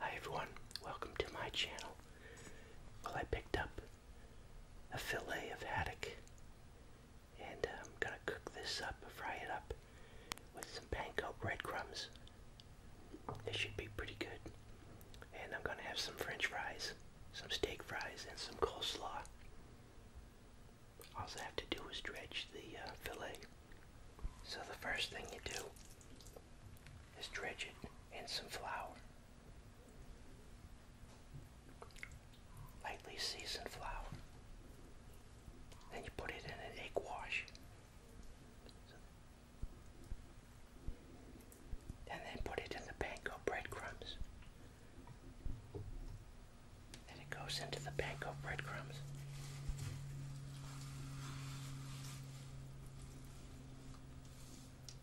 Hi everyone, welcome to my channel. Well, I picked up a fillet of haddock. And I'm um, gonna cook this up, fry it up with some panko breadcrumbs. It should be pretty good. And I'm gonna have some french fries, some steak fries, and some coleslaw. All I have to do is dredge the uh, fillet. So the first thing you do is dredge it in some flour lightly seasoned flour. Then you put it in an egg wash. And then put it in the panko breadcrumbs. Then it goes into the panko breadcrumbs.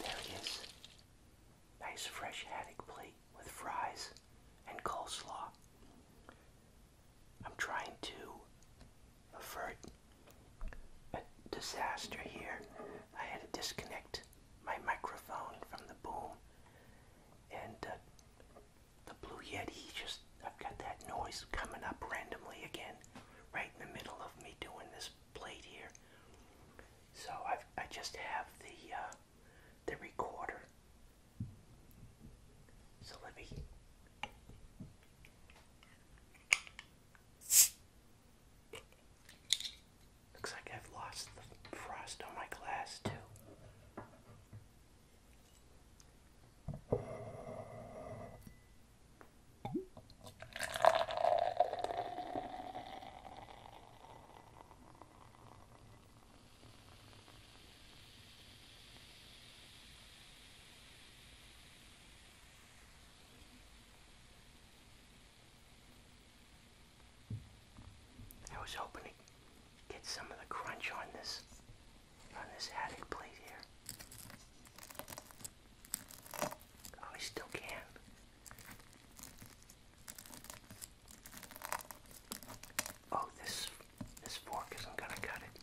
there it is. Nice fresh haddock plate with fries and coleslaw. I'm trying to avert a disaster here. I had to disconnect my microphone from the boom and uh, the Blue Yeti just, I've got that noise coming up randomly again, right in the middle of me doing this plate here. So I've, I just have the, uh, the recorder. So let me... Looks like I've lost the frost on my glass too. I was hoping to get some of the crunch on this on this attic plate here. Oh, I still can. Oh, this this fork isn't gonna cut it.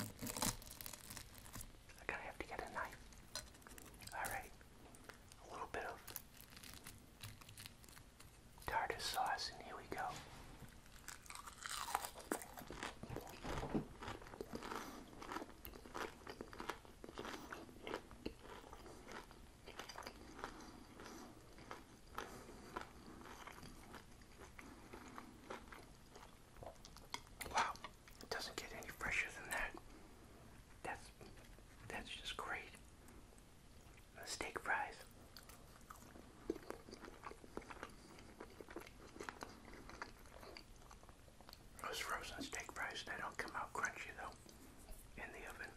I gotta have to get a knife. All right, a little bit of tartar sauce, and here we go. Wow, it doesn't get any fresher than that. That's that's just great steak fries. Those frozen steak fries, they don't come out crunchy though in the oven.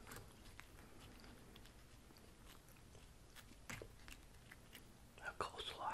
A coleslaw.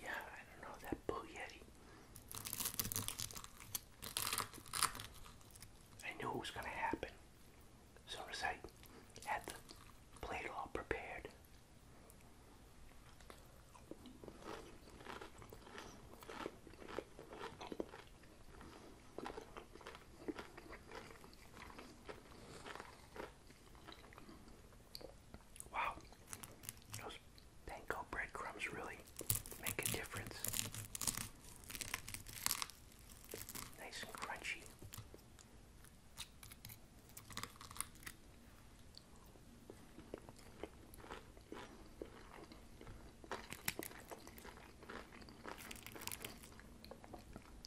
Yeah, I don't know that blue I knew it was gonna happen. As I had the plate all prepared. Wow, those panko breadcrumbs really make a difference. Nice and crunchy.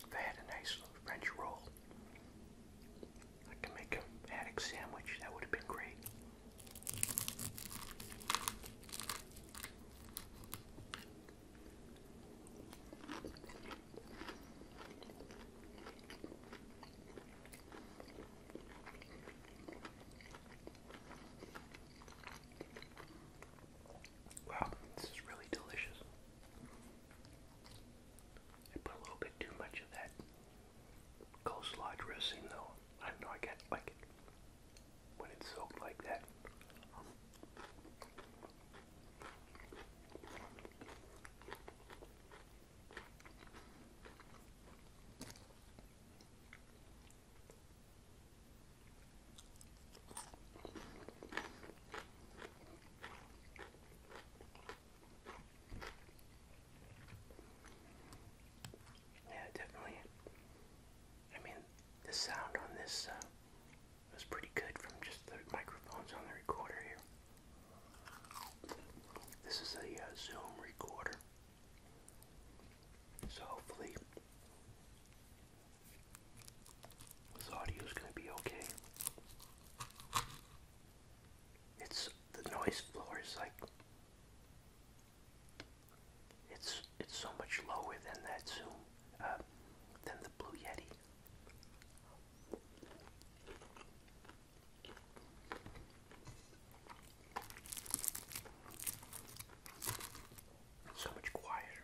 If I had a nice French roll, I could make a haddock sandwich. That would have been great. Wow, this is really delicious. I put a little bit too much of that coleslaw dressing though. I don't know, I got like it when it's soaked like that. Yeah, definitely. I mean, the sound on this uh, was pretty good from just the microphones on the recorder here. This is a uh, Zoom recorder. So hopefully this audio is going to be okay. It's the noise floor is like it's it's so much lower than that Zoom, uh, than the Blue Yeti. so much quieter.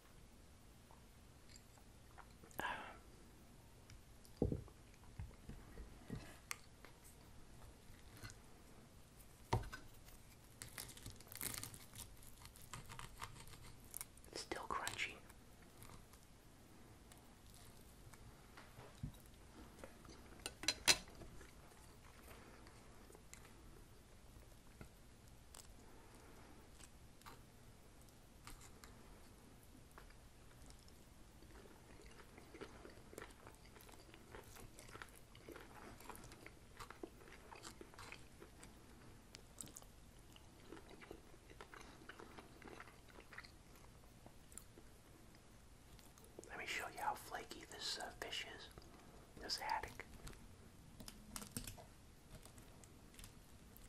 Um. It's still crunchy. Let me show you how flaky this uh, fish is, this haddock.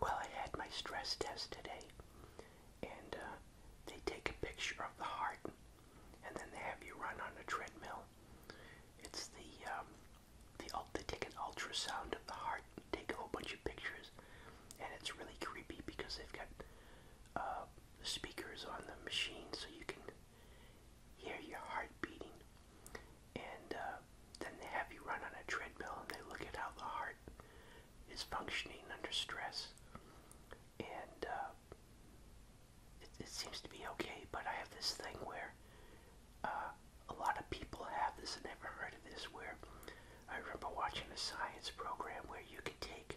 Well, I had my stress test today, and uh, they take a picture of the heart, and then they have you run on a treadmill. It's the um, the they take an ultrasound of the heart, take a whole bunch of pictures, and it's really creepy because they've got uh, speakers on the machine, so you can hear your heart beating. And uh, then they have you run on a treadmill and they look at how the heart is functioning under stress. And uh, it, it seems to be okay, but I have this thing where uh, a lot of people have this and never heard of this. Where I remember watching a science program where you could take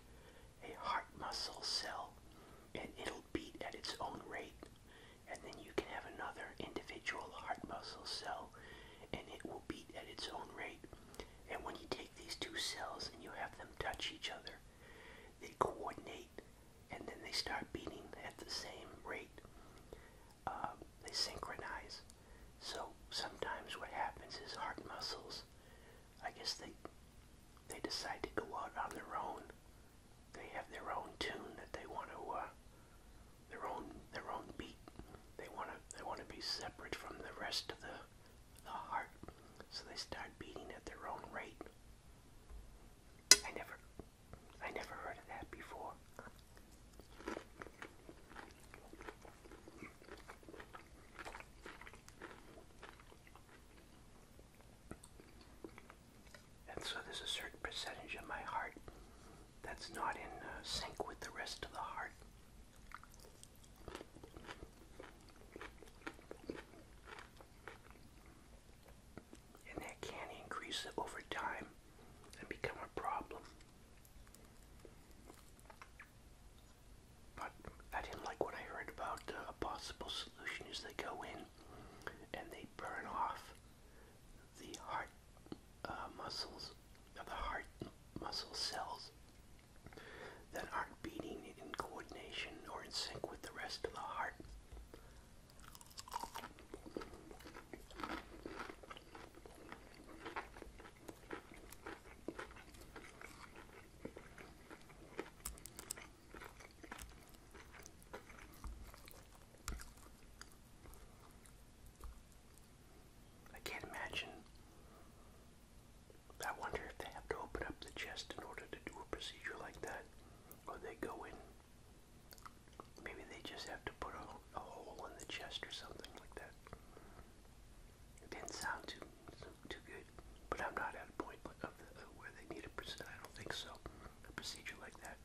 a heart muscle cell and it'll beat at its own rate and then you can have another individual heart muscle cell and it will beat at its own rate and when you take these two cells and you have them touch each other they coordinate and then they start beating at the same rate uh, they synchronize so sometimes what happens is heart muscles I guess they they decide to go out on their own. They have their own tune that they want to, uh, their own their own beat. They want to they want to be separate from the rest of the the heart, so they start beating at their own rate. I never I never heard of that before. And so there's a certain percentage of my heart that's not in uh, sync with the rest of the heart. And that can increase over time and become a problem. But I didn't like what I heard about uh, a possible solution is they go in and they burn off the heart uh, muscles, of the heart muscle cells that aren't beating in coordination or in sync with the rest of the heart. I can't imagine. I wonder if they have to open up the chest in order to do a procedure like that, or they go in. Maybe they just have to put a, hole in the chest or something like that. It didn't sound too, too good. But I'm not at a point of where they need a procedure. I don't think so. A procedure like that.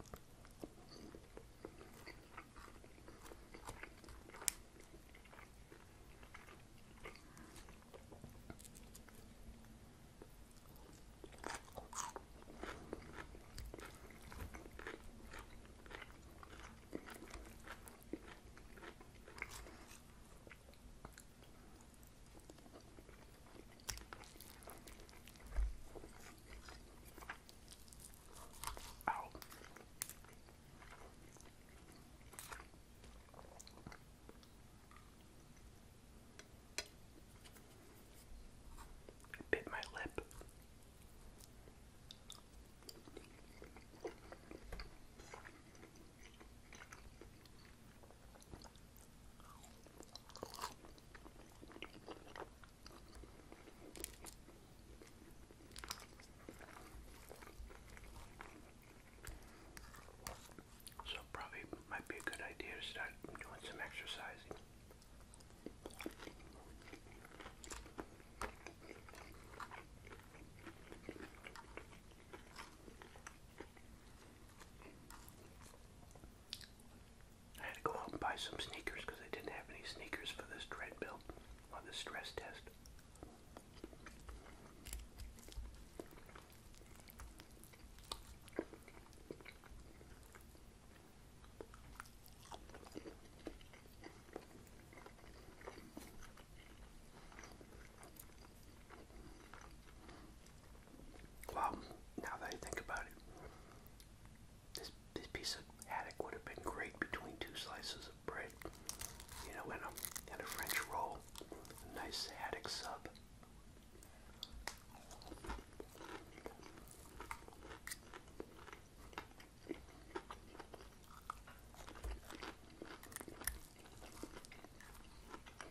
Ow. I bit my lip. So probably might be a good idea to start doing some exercising. I had to go out and buy some sneakers because I didn't have any sneakers for this treadmill on this stress test. Wow, now that I think about it, this, this piece of haddock would have been great between two slices of bread. You know, and a, and a French roll, a nice haddock sub.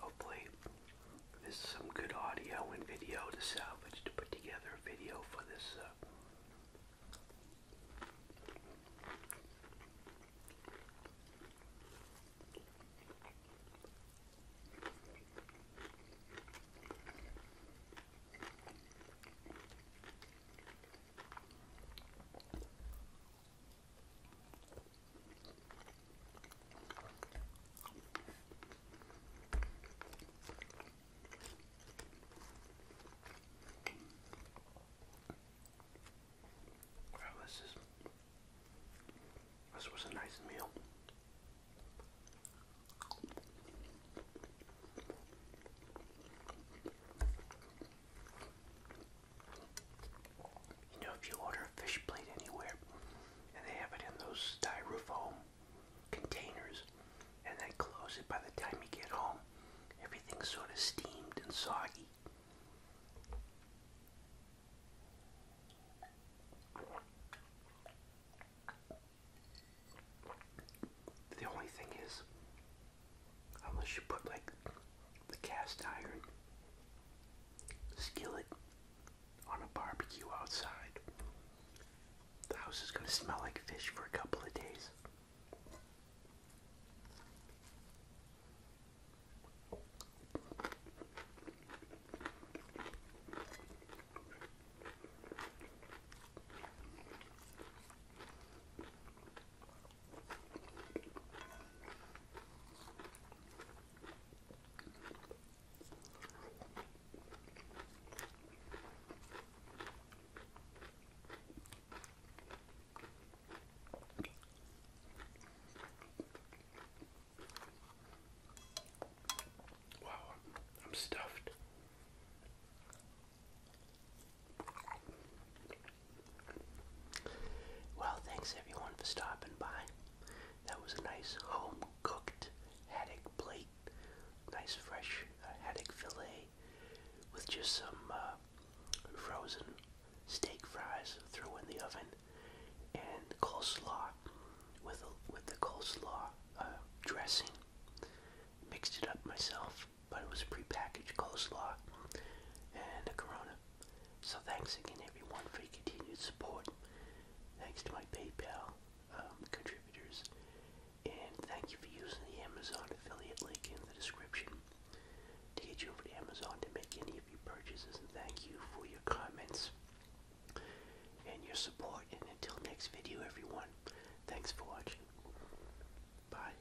hopefully, this some good audio and video to salvage to put together a video for this. Uh, well, this is this was a nice meal. You know, if you order a fish plate anywhere and they have it in those styrofoam containers and they close it by the time you get home, everything's sort of steamed and soggy. The only thing is, unless you put like the cast iron skillet on a barbecue outside. The house is going to smell like fish for a couple of days. Wow, I'm stuffed. Well, thanks everyone for stopping by. That was a nice home cooked haddock plate, nice fresh uh, haddock fillet with just some uh, frozen steak fries through in the oven and coleslaw with a, with the coleslaw uh, dressing. Mixed it up myself, but it was prepackaged coleslaw and a Corona. So thanks again everyone for your continued support. Thanks to my PayPal um, contributors. And thank you for using the Amazon affiliate link in the description to get you over to Amazon to make any of your purchases. And thank you for your comments and your support. And until next video, everyone, thanks for watching. Bye.